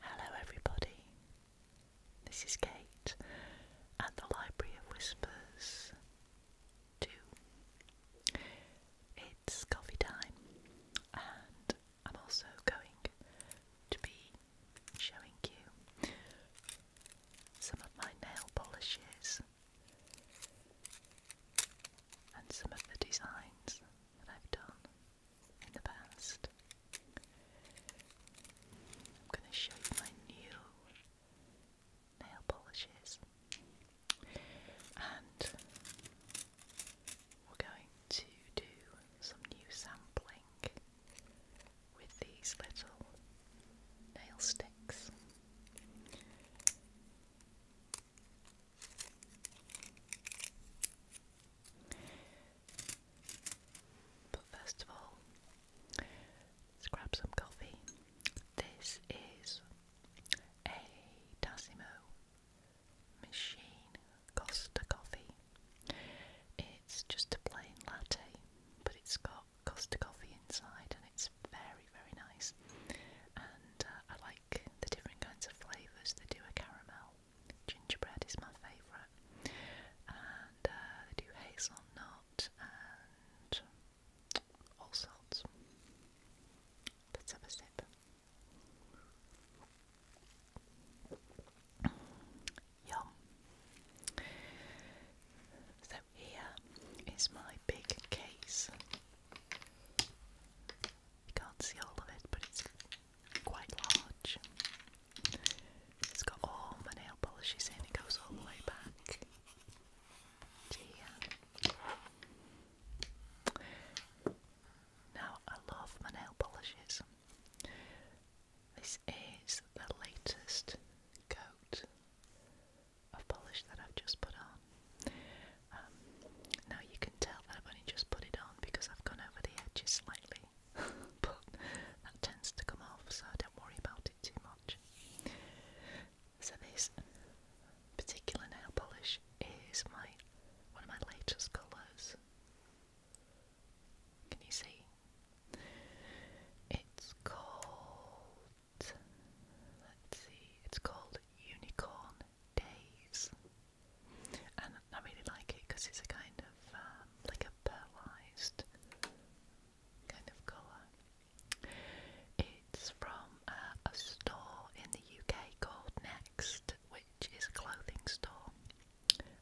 Hello, everybody. This is Kate and the Library of Whispers 2. It's coffee time, and I'm also going to be showing you some of my nail polishes and some of the designs that I've done in the past. I'm going to show you my new nail polishes and we're going to do some new sampling with these little nail sticks. But first of all, let's grab some coffee. This is a Dasimo machine Costa coffee. It's just a plain latte, but it's got Costa coffee inside, and it's very, very nice. And uh, I like the different kinds of flavours. They do a caramel, gingerbread is my favourite, and uh, they do hazelnut and all sorts. Let's have a sip. Yum. So here is my big case. You can't see all of it, but it's quite large. It's got all my nail polishes in, it goes all the way back Now, I love my nail polishes. This is the latest coat of polish that I've just put on. Um, now you can tell that I've only just put it on because I've gone over the edges slightly, but that tends to come off, so don't worry about it too much. So this particular nail polish is my one of my latest colours. Can you see? It's called Let's see, it's called Unicorn Days, and I really like it because it's a kind of um, like a pearlized kind of colour. It's from uh, a store in the UK called Next, which is a clothing store,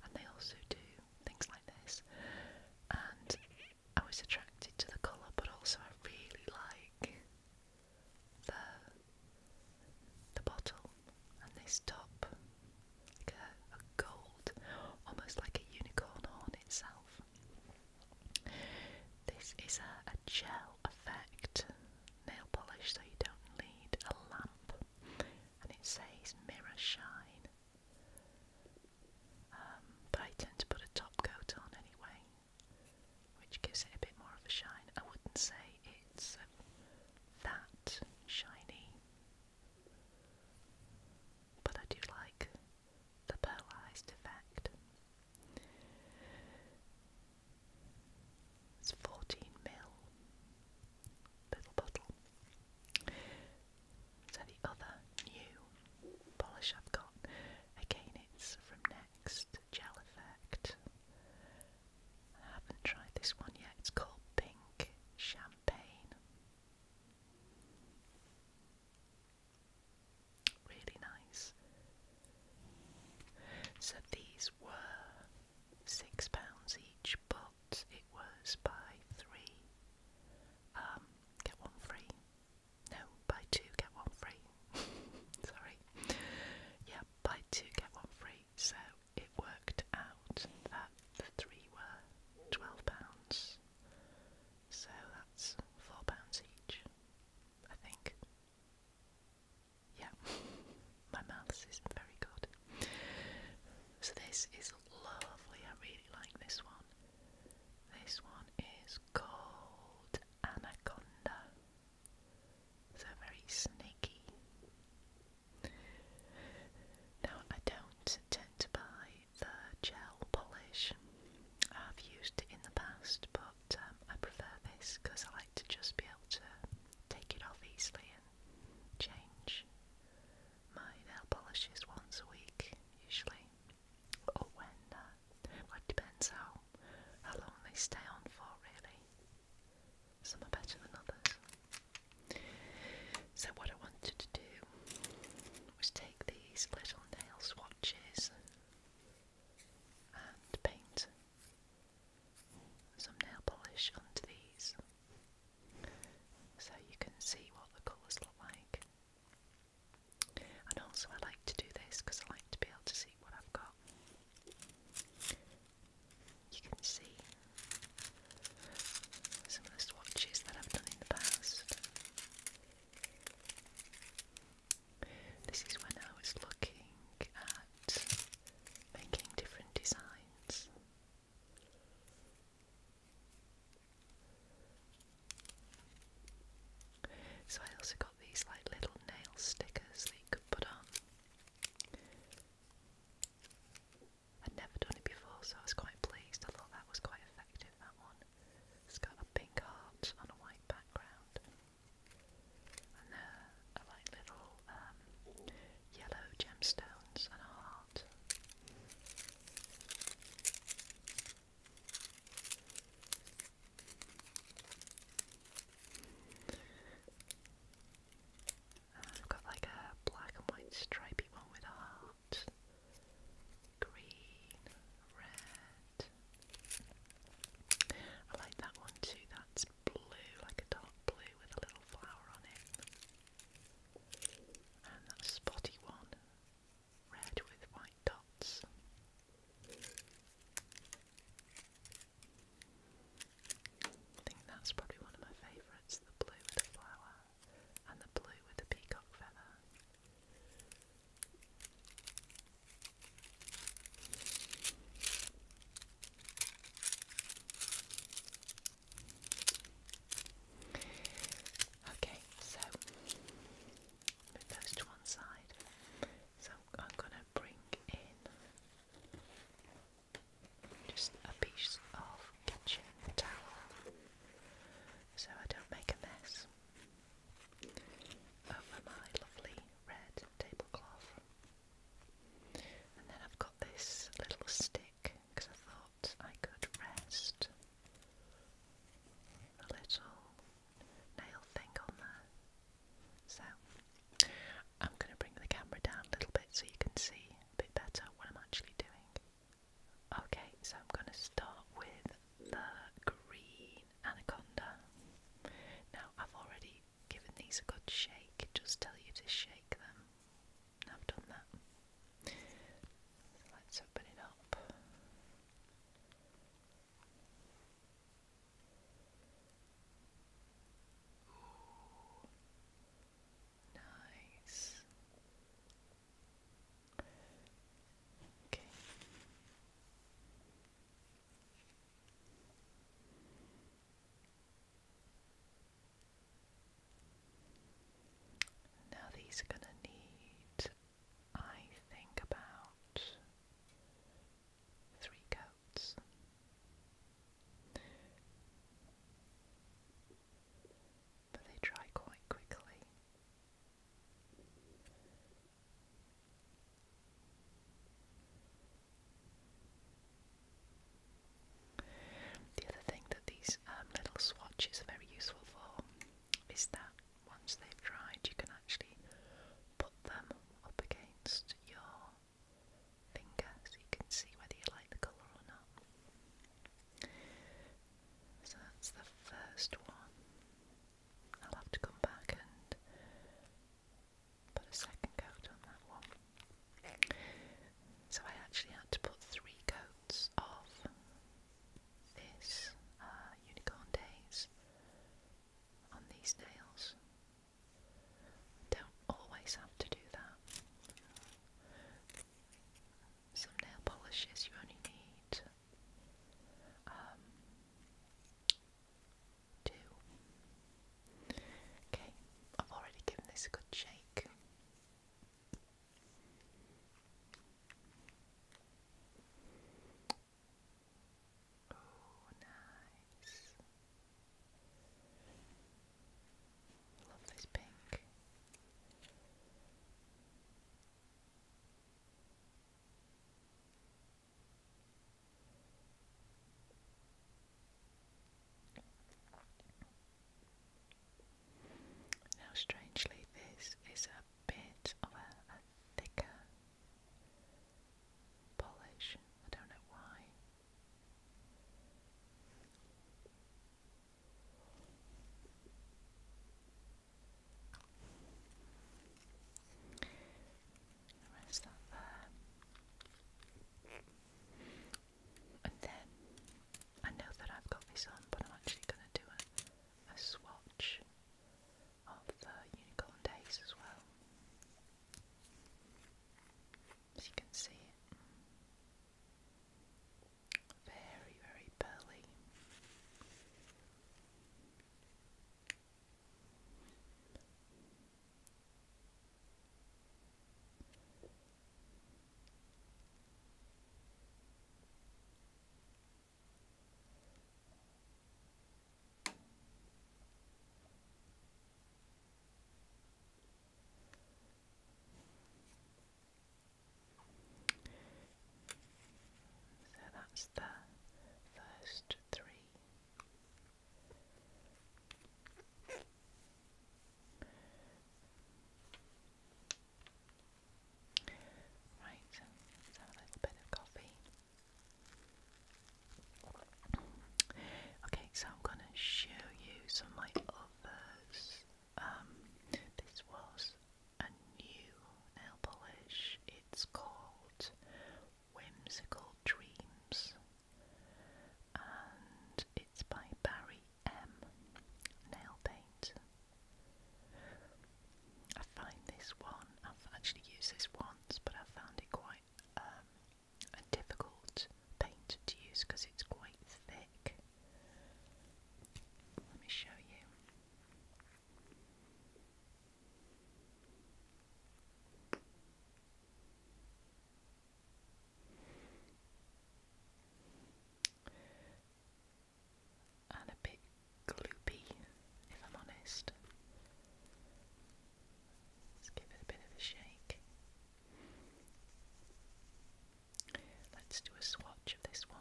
and they also do things like this. And I was attracted to the colour, but also I really like the the bottle and this top like a, gold almost like a unicorn horn itself this is a, gel effect nail polish so you don't need a lamp and it says mirror shine um, but I tend to put a top coat on anyway which gives it a bit more of a shine. I wouldn't say it's that shiny, but I do like the pearlized effect. It's 14 mil little bottle. So the other new polish I've got, again it's from Neck next, Gel Effect. I haven't tried this one yet, it's called Pink Champagne. Really nice. So these were £6 each, but it was buy three, um, get one free. No, buy two, get one free. Sorry. Yeah, buy two, get one free. So it worked out that the three were £12. So that's £4 each, I think. Yeah, my maths is very good. So this is lovely, I really like this one. This one is gold anaconda. So very snaky. Now, I don't tend to buy the gel polish. I've used it in the past, but um, I prefer this because I like to just be able to take it off easily and change my nail polishes once a week, usually or when. Uh, it depends how how long they stay on for, really. Some are better than others. So what I wanted to do was take these little nail swatches and paint some nail polish onto these so you can see what the colours look like. And also, I like to do this because I like to be able to see what I've got. You can see some of the swatches that I've done in the past. This is when I was looking at making different designs. So I also got these like little nail stickers that you could put on. I'd never done it before, so I was quite pleased. I thought that was quite effective, that one. It's got a pink heart on a white background. And uh, I like little um, yellow gemstones and a heart got like a black and white stripy one with a heart, green, red. I like that one too, that's blue, like a dark blue with a little flower on it. And that spotty one, red with white dots. I think that's probably one of my favourites, the blue with flower and the blue with the peacock feather. Okay, so move those to one side. So I'm going bring in just a piece of kitchen towel so I don't make a mess over my lovely red tablecloth. And then I've got this little stick because I thought I could rest a little nail thing on there. So I'm going to bring the camera down a little bit so you can see a bit better what I'm actually doing. Okay, so I'm going to start with the green anaconda. Now I've already given these a good shake, just tell you to shake them. I've done that. let's open it up. Ooh, nice. Okay. Now these are going to need, I think, about three coats. But they dry quite quickly. The other thing that these um, little swatches are very useful for is that once they've dried, you can actually put them up against your finger so you can see whether you like the colour or not. So that's the first one. I'll have to come back and put a second coat on that one. So I actually had to put three coats of this uh, Unicorn Days on these nails. Don't always have to do that. Some nail polishes you only need two. Um, okay, I've already given this a good shake. Oh, nice. Love this pink. Now, strangely, this is a bit of a, thicker polish. I don't know why. Rest that there. And then I know that I've got this on, but I'm actually going to do a, a swatch of the Unicorn Days as well. As you can see Very, very pearly. So that's the first three. Right, let a little bit of coffee. Okay, so I'm going to show you some of my others. Um, this was a new nail polish. It's called Whimsical Dreams, and it's by Barry M. Nail Paint. I find this one, I've actually used this once, but I found it quite um, a difficult paint to use because it's quite thick. Let me show you. And a bit gloopy, if I'm honest. Let's give it a bit of a shake. Let's do a swatch of this one.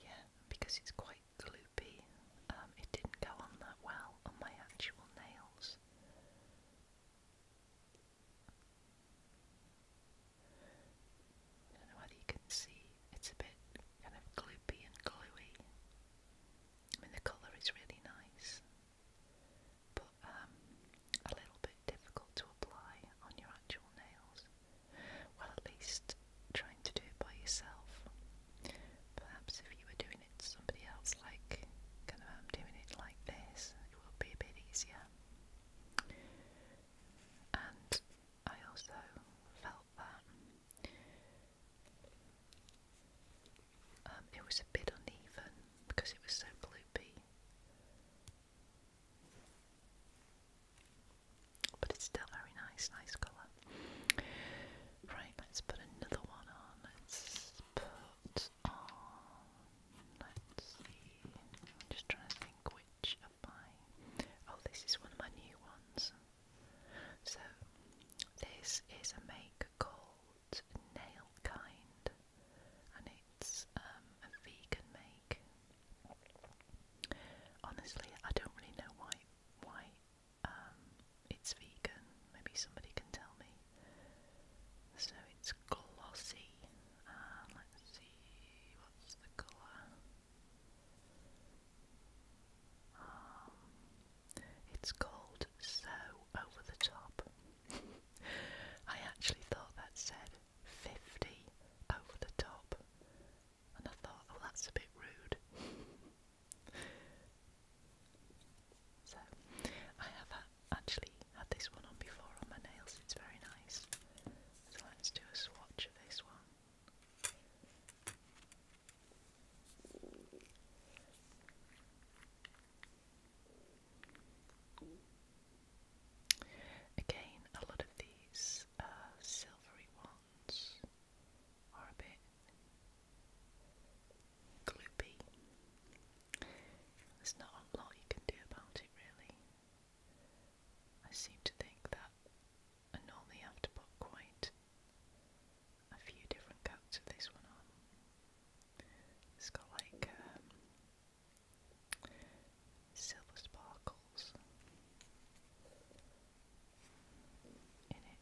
Yeah, because it's quite gloopy, um, it didn't go on that well on my actual nails whether you can see, it's a bit kind of gloopy and gluey. I mean, the colour is really nice, but um, a little bit difficult to apply on your actual nails. Well, at least trying to do it by yourself. Perhaps if you were doing it to somebody else, like kind of I'm doing it like this, it will be a bit easier. And I also felt that um, it was a bit uneven because it was so gloopy. But it's still very nice, nice colour. Right, let's put another one on. Let's put on. Oh, let's see. I'm just trying to think which of my. Oh, this is one of my new ones. So, this is a make called Nail Kind, and it's um, a vegan make. Honestly, I don't really know why why um, it's vegan. Maybe somebody can tell me. So it's glossy. Uh, let's see, what's the colour? Um, it's called So Over the Top. I actually thought that said 50 over the top, and I thought, oh, that's a bit rude. So, I have actually had this one on before on my nails, it's very nice. let's do a swatch of this one. Again, a lot of these uh, silvery ones are a bit gloopy. There's not a lot you can do about it, really. I seem to think that I normally have to put quite a few different coats of this one on. It's got like um, silver sparkles in it.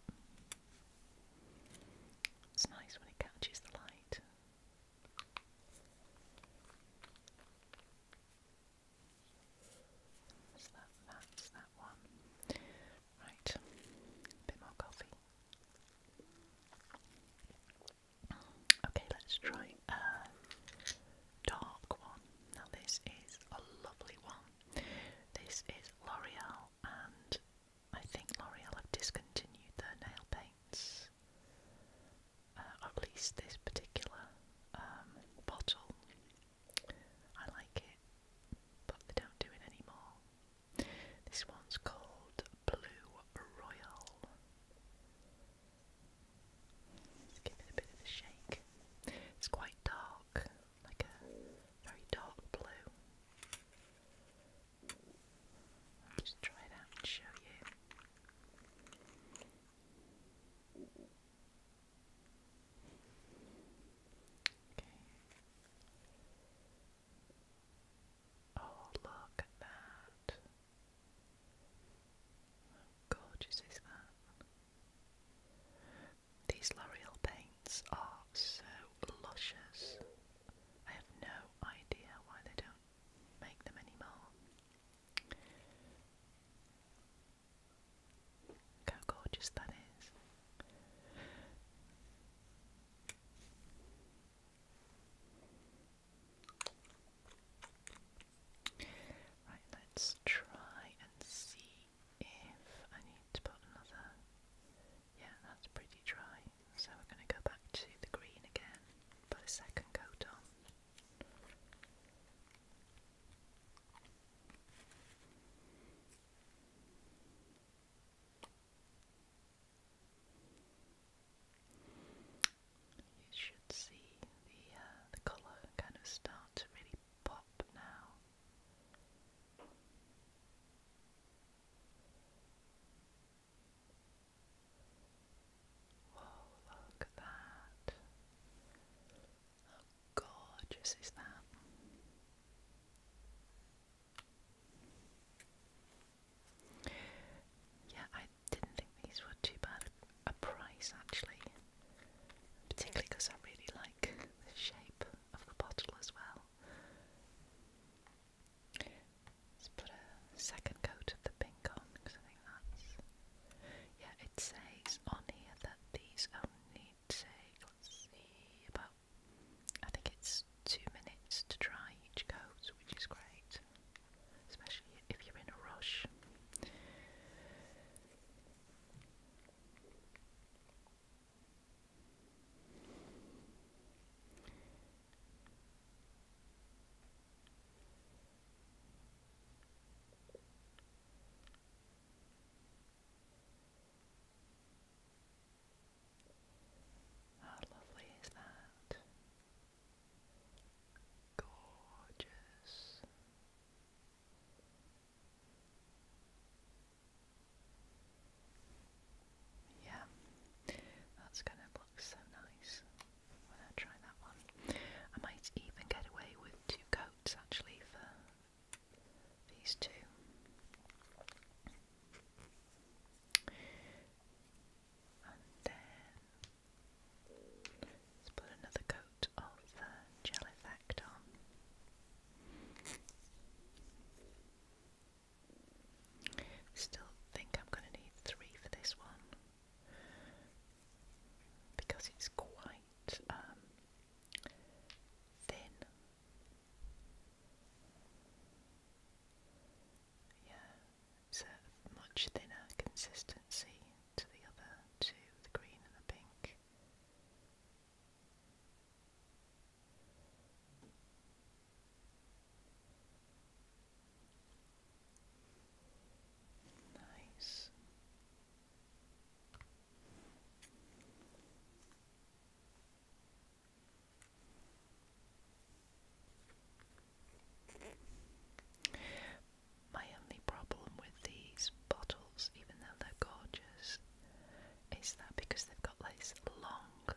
It's nice when it catches the light. That's that, that's that one. Right, bit more coffee. Okay, let's try a dark one. Now, this is a lovely one. This is L'Oreal, and I think L'Oreal have discontinued their nail paints this, uh, at least this particular um, bottle. I like it, but they don't do it anymore. This one's called Blue Royal. give it a bit of a shake. It's quite dark, like a very dark blue. Just try it out and show you. Okay. Oh, look at that. How gorgeous is that? These L'Oreal paints are so luscious. I have no idea why they don't make them anymore. how gorgeous that is. Right, let's try and see if I need to put another. Yeah, that's pretty dry. So we're going to go back to the green again, put a second coat on. You should see the uh, the colour kind of start to really pop now. Whoa, look at that. How gorgeous is that? Yeah, I didn't think these were too bad a price actually, particularly because I really like the shape of the bottle as well. Let's put a second coat of the pink on Yeah, it says on here that these only take, see, about. I think it's two minutes to dry each coat, which is great, especially if you're in a rush. How lovely is that? Gorgeous. Yeah, that's going to so nice when I try that one. I might even get away with two coats actually for these two. And then let's put another coat of the uh, gel effect on. Still think I'm going to need three for this one because it's quite um, thin. Yeah, it's much thinner consistency to the other two, the green and the pink. Nice. My only problem with these bottles, even though they're gorgeous, is that because they've got like long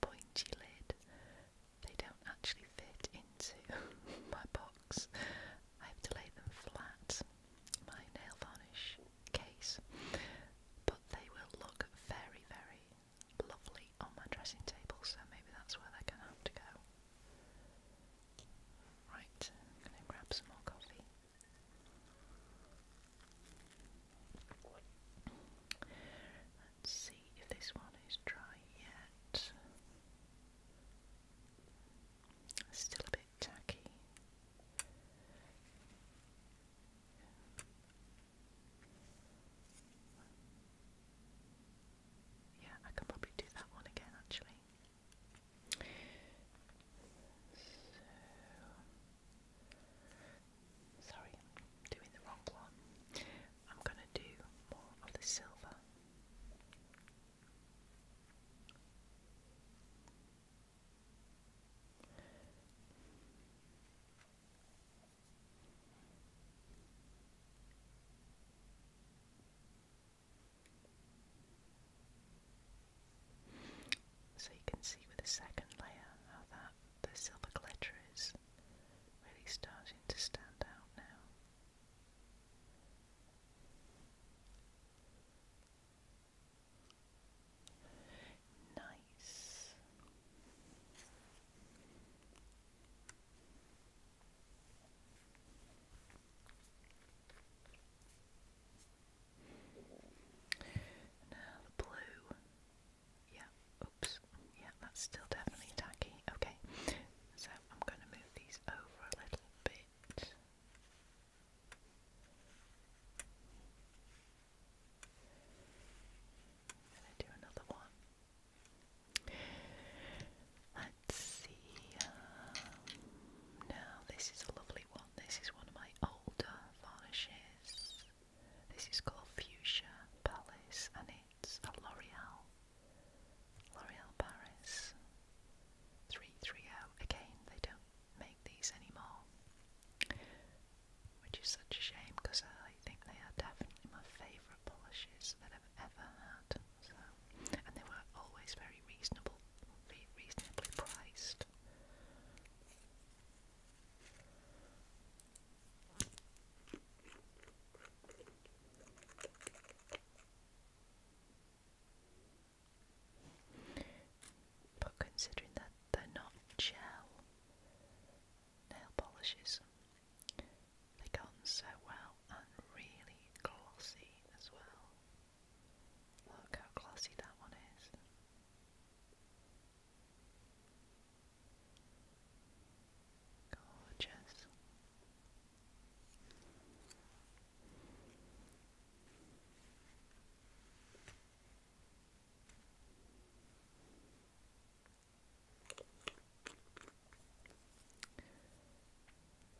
pointy lid. They don't actually fit into my box. I have to lay them flat, my nail varnish case, but they will look very, very lovely on my dressing table, so maybe that's where they're going to have to go. Right, going to grab some more coffee. Let's see if this one is dry yet. Still a bit tacky. Yeah, I can probably do that one again actually. sorry, doing the wrong one. I'm going to do more of the silver. So you can see with the second layer how that the silver glitter is really starting to stand out now. Nice. Now the blue. Yeah, yeah, that's still definitely tacky. Okay. So I'm going to move these over a little bit. i do another one. Let's see. Um, now, this is a lovely one. This is one of my older varnishes. This is called Fuchsia Palace and it's a L'Oreal L'Oreal Paris 330. Again, they don't make these anymore, which is such a shame because I think they are definitely my favourite polishes that I've ever had. So, and they were always very reasonable, reasonably priced. But considering that they're not gel nail polishes, they go on so well and really glossy as well. Look how glossy that one is.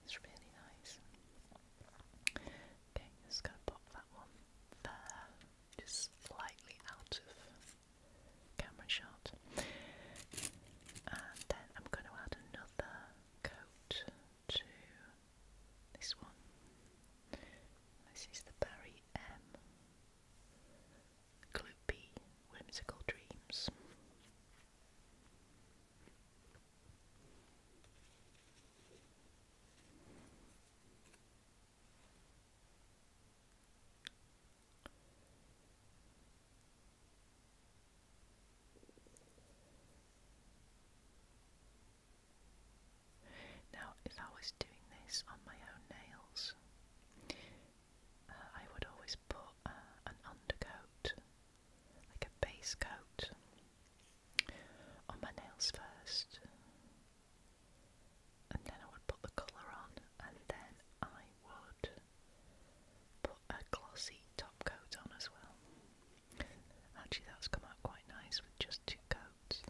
It's really nice. Okay, just gonna pop that one just slightly out of camera shot. And then I'm going to add another coat to this one. This is the Barry M. Gloopy Whimsical Dreams. Now, if I was doing this on my own nails, uh, I would always put uh, an undercoat, like a base coat, on my nails first, and then I would put the colour on, and then I would put a glossy top coat on as well. Actually, that's come out quite nice with just two coats.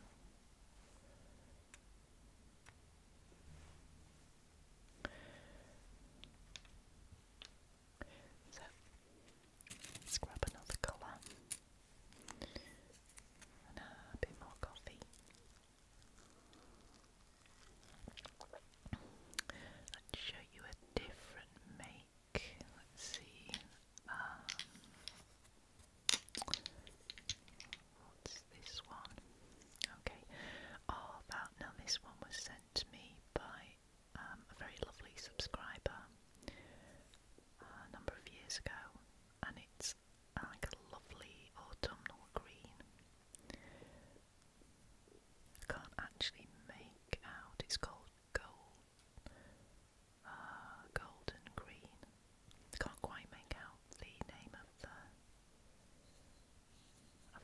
So, let's grab another colour and a bit more coffee. Let's show you a different make. Let's see. Um, what's this one? Okay. Oh, now this one was sent to me by um, a very lovely subscriber uh, a number of years ago, and it's like a lovely autumnal green. I can't actually make out. It's called gold, uh, golden green. Can't quite make out the name of the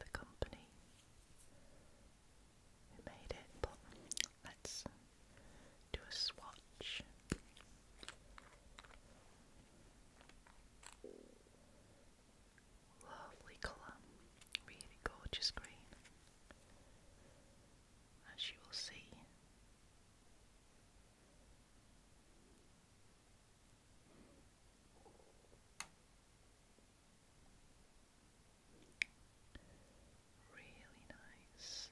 of company who made it, let's do a swatch. Lovely colour, really gorgeous green. As you will see, really nice.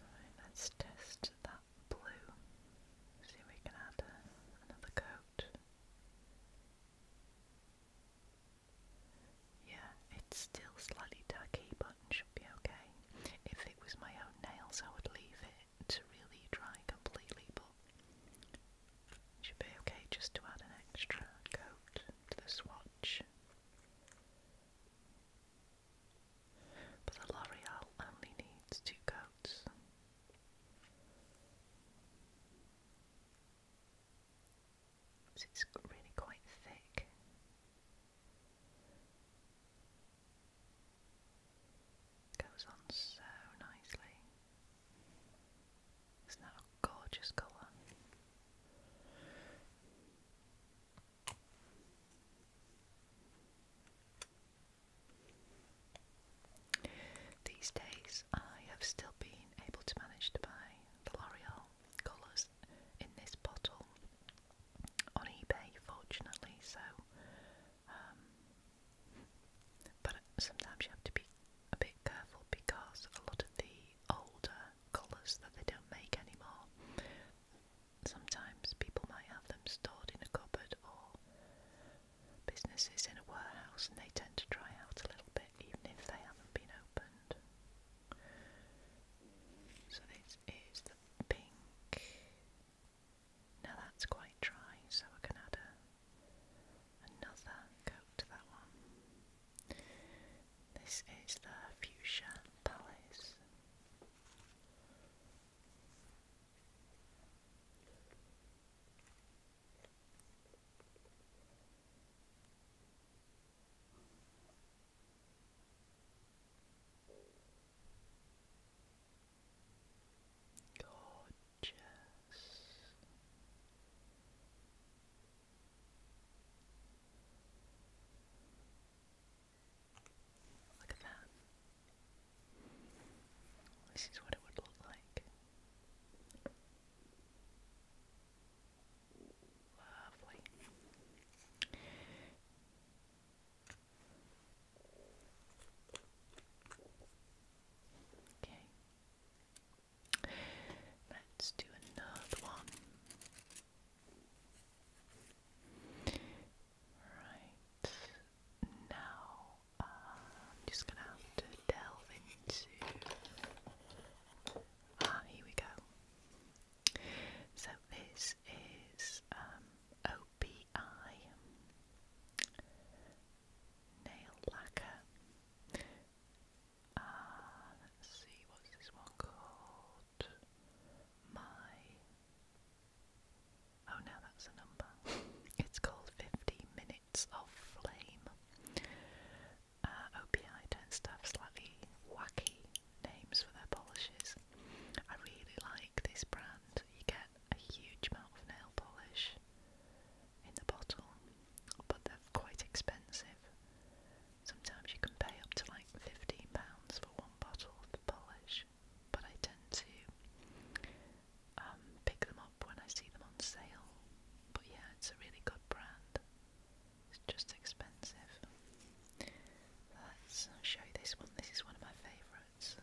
Alright, let's test that blue. See if we can add uh, another coat. Yeah, it's still slightly tacky, but should be okay. If it was my own nails, I would leave it to really dry completely, but it should be okay just to add an extra coat to the swatch. But the L'Oreal only needs two coats it's really quite thick. Goes on so nicely. Isn't gorgeous colour? These days I have still been able to manage to buy the L'Oreal colours in this bottle on eBay, fortunately. So, um, but sometimes you have to be a bit careful because a lot of the older colours that they don't make anymore, sometimes people might have them stored in a cupboard or businesses in a warehouse, and they tend to dry out a little bit even if they haven't been opened. So this is the pink. Now that's quite dry, so I can add another coat to that one. This is the Fuchsia Palace. Gorgeous. Look at that. This is what it would look like. Lovely. Okay. Let's do another one. Right. Now uh, I'm just going to have to delve into. Ah, here we go. So this is um, OPI nail lacquer. Ah, let's see, what's this one called? My. Oh, now that's a number. it's called 50 Minutes of Flame. Uh, OPI tends to slightly wacky names for their polishes. I really like this brand. You get a huge amount of nail polish in the bottle, but they're quite expensive. Sometimes you can pay up to like £15 for one bottle of polish, but I tend to um, pick them up when I see them on sale. But yeah, it's a really good brand. It's just expensive. Let's show this one. This is one of my favourites.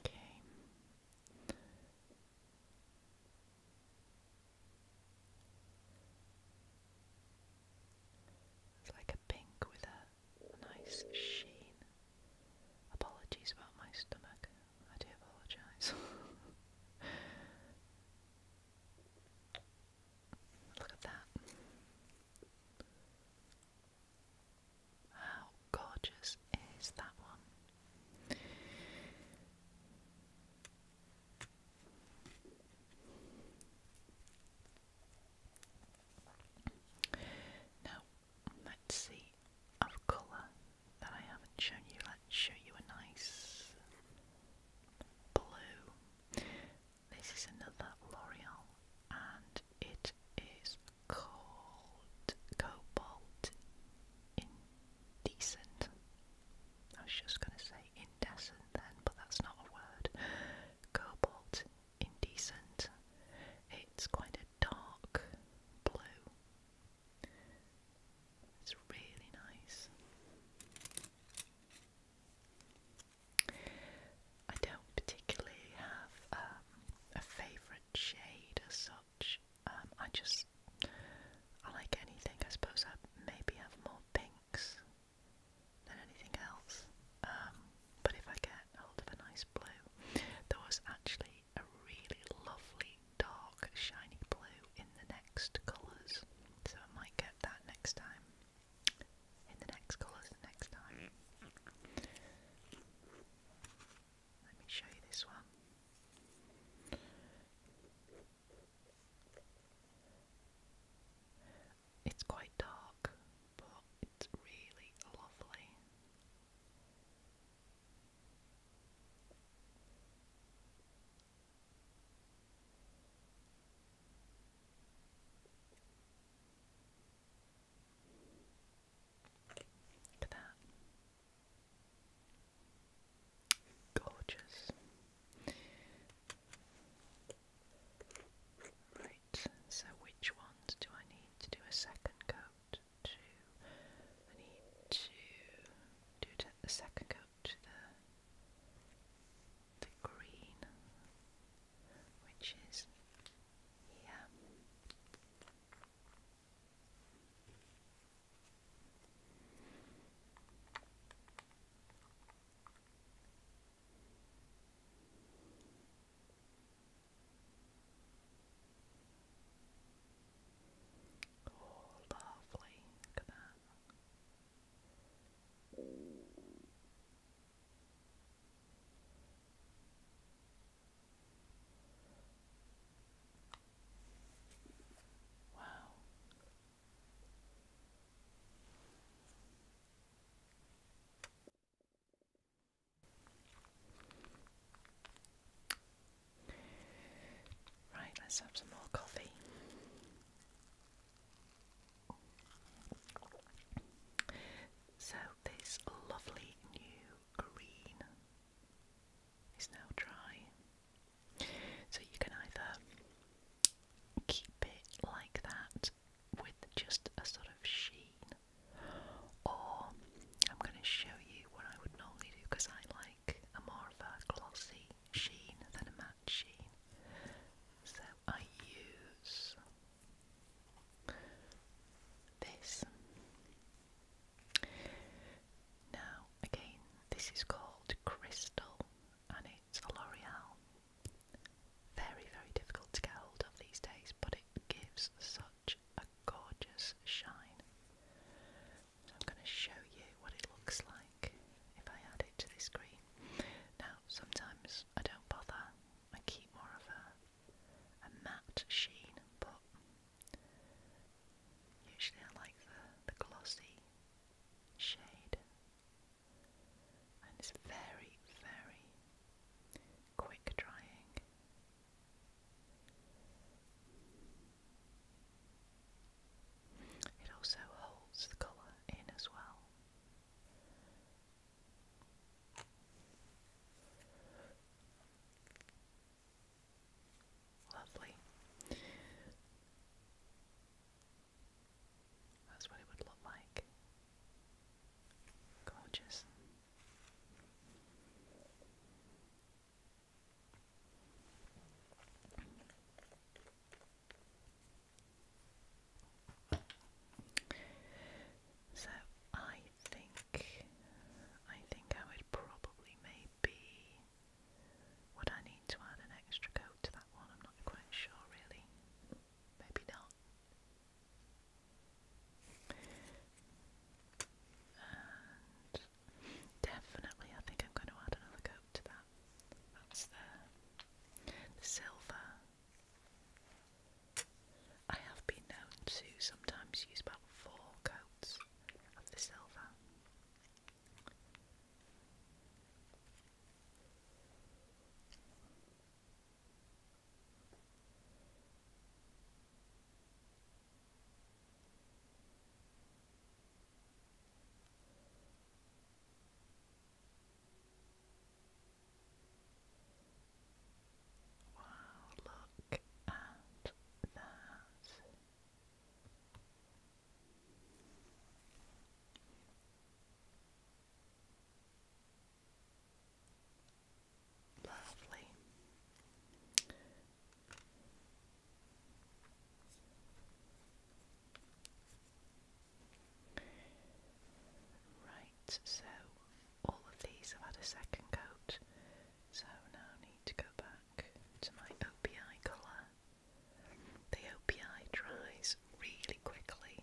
Okay. It's like a pink with a nice sheen. Apologies about my stomach. I do apologise. Look at that. How gorgeous is that one? Now, let's see of colour that I haven't shown you. Let's show you a nice blue. This is another L'Oreal and it is called Cobalt Indecent. I was just going to say indecent then, but that's not a word. Cobalt indecent. It's quite a dark blue. It's really nice. I don't particularly have um, a favourite shade as such. Um, I just I like anything. I suppose I maybe have more pinks than anything else. Um, but if I get hold of a nice blue, there was actually a really lovely dark shiny blue in the next colours. So I might get that next time. In the next colours next time. Let me show you this one. It's quite dark, but it's really lovely. Look at that. Gorgeous. Right so which ones do I need to do a second coat to? I need to do the second coat to the, the green, which is here. Oh, lovely. Look at that. Wow. Right, let's have some more coffee. So, this lovely new green is now dry. So, you can either keep it like that with just a sort of sheen. Or I'm going to show you what I would normally do because I like a more glossy sheen than a matte sheen. So I use this. Now, again, this is called Crystal and it's L'Oreal very, very difficult to get hold of these days, but it gives such a gorgeous shine. I'm going to show you what it looks like if I add it to the screen. Now, sometimes I don't bother, I keep more of a, matte sheen, but usually I like the glossy shade. And it's very, very quick drying. It also holds the colour in as well. Lovely. That's what it would look like. Gorgeous. So I think I think I would probably maybe would I need to add an extra coat to that one? I'm not quite sure really. Maybe not definitely, I think I'm going to add another coat to that. That's The silver. I have been known to sometimes use about four coats of the silver. Wow, look at that. Lovely. Right, so all of these have had a second coat, so now I need to go back to my OPI colour. The OPI dries really quickly.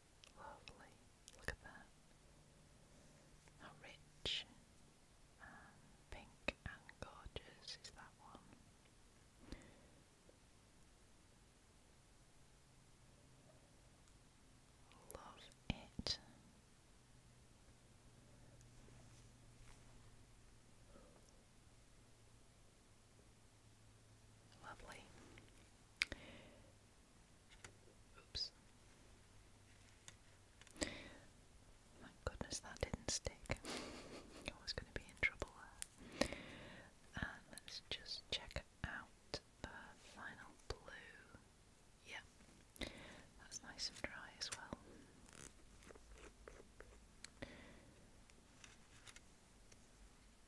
Lovely. Look at that. How rich and pink and gorgeous is that one. Love it. Lovely. Oops. My goodness, that didn't stick. I was going to be in trouble And let's just check out the final blue. Yeah, that's nice and dry as well.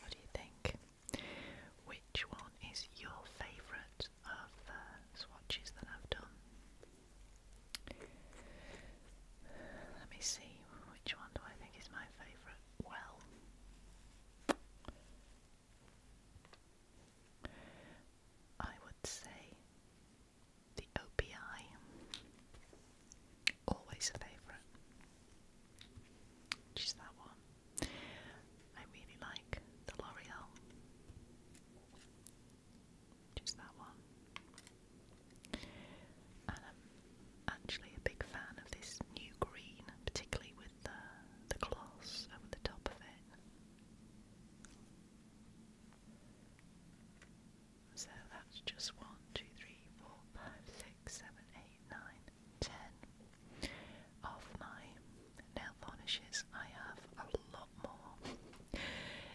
What do you think? Which one is your favourite of the swatches that I've done? Let me see, which one do I think is my favourite? Well, I would say the OPI, always a favourite. Just that one. I really like the L'Oreal. Just that one. And I'm actually a big fan of this new green, particularly with the, the gloss over the top of it. So that's just 1, of my nail varnishes. I have a lot more.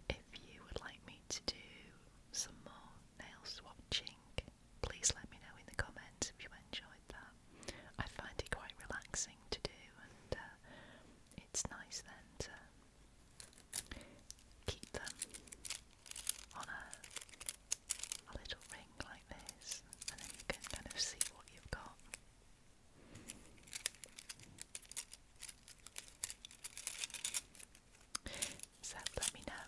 if you would like me to do some more nail swatching, please let me know in the comments if you enjoyed that. I find it quite relaxing to do, and uh, it's nice then to keep them on a, a little ring like this, and then you can kind of see what you've got. So let me know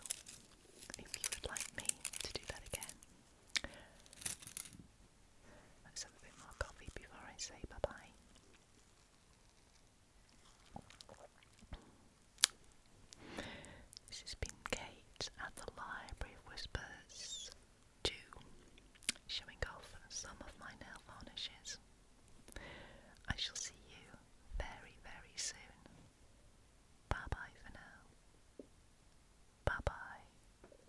if you would like me to do that again i have a bit more coffee before I say bye bye. This has been Kate at the Library Whispers 2, showing off some of my nail varnishes. I shall see you very, very soon. Bye bye for now. Bye bye.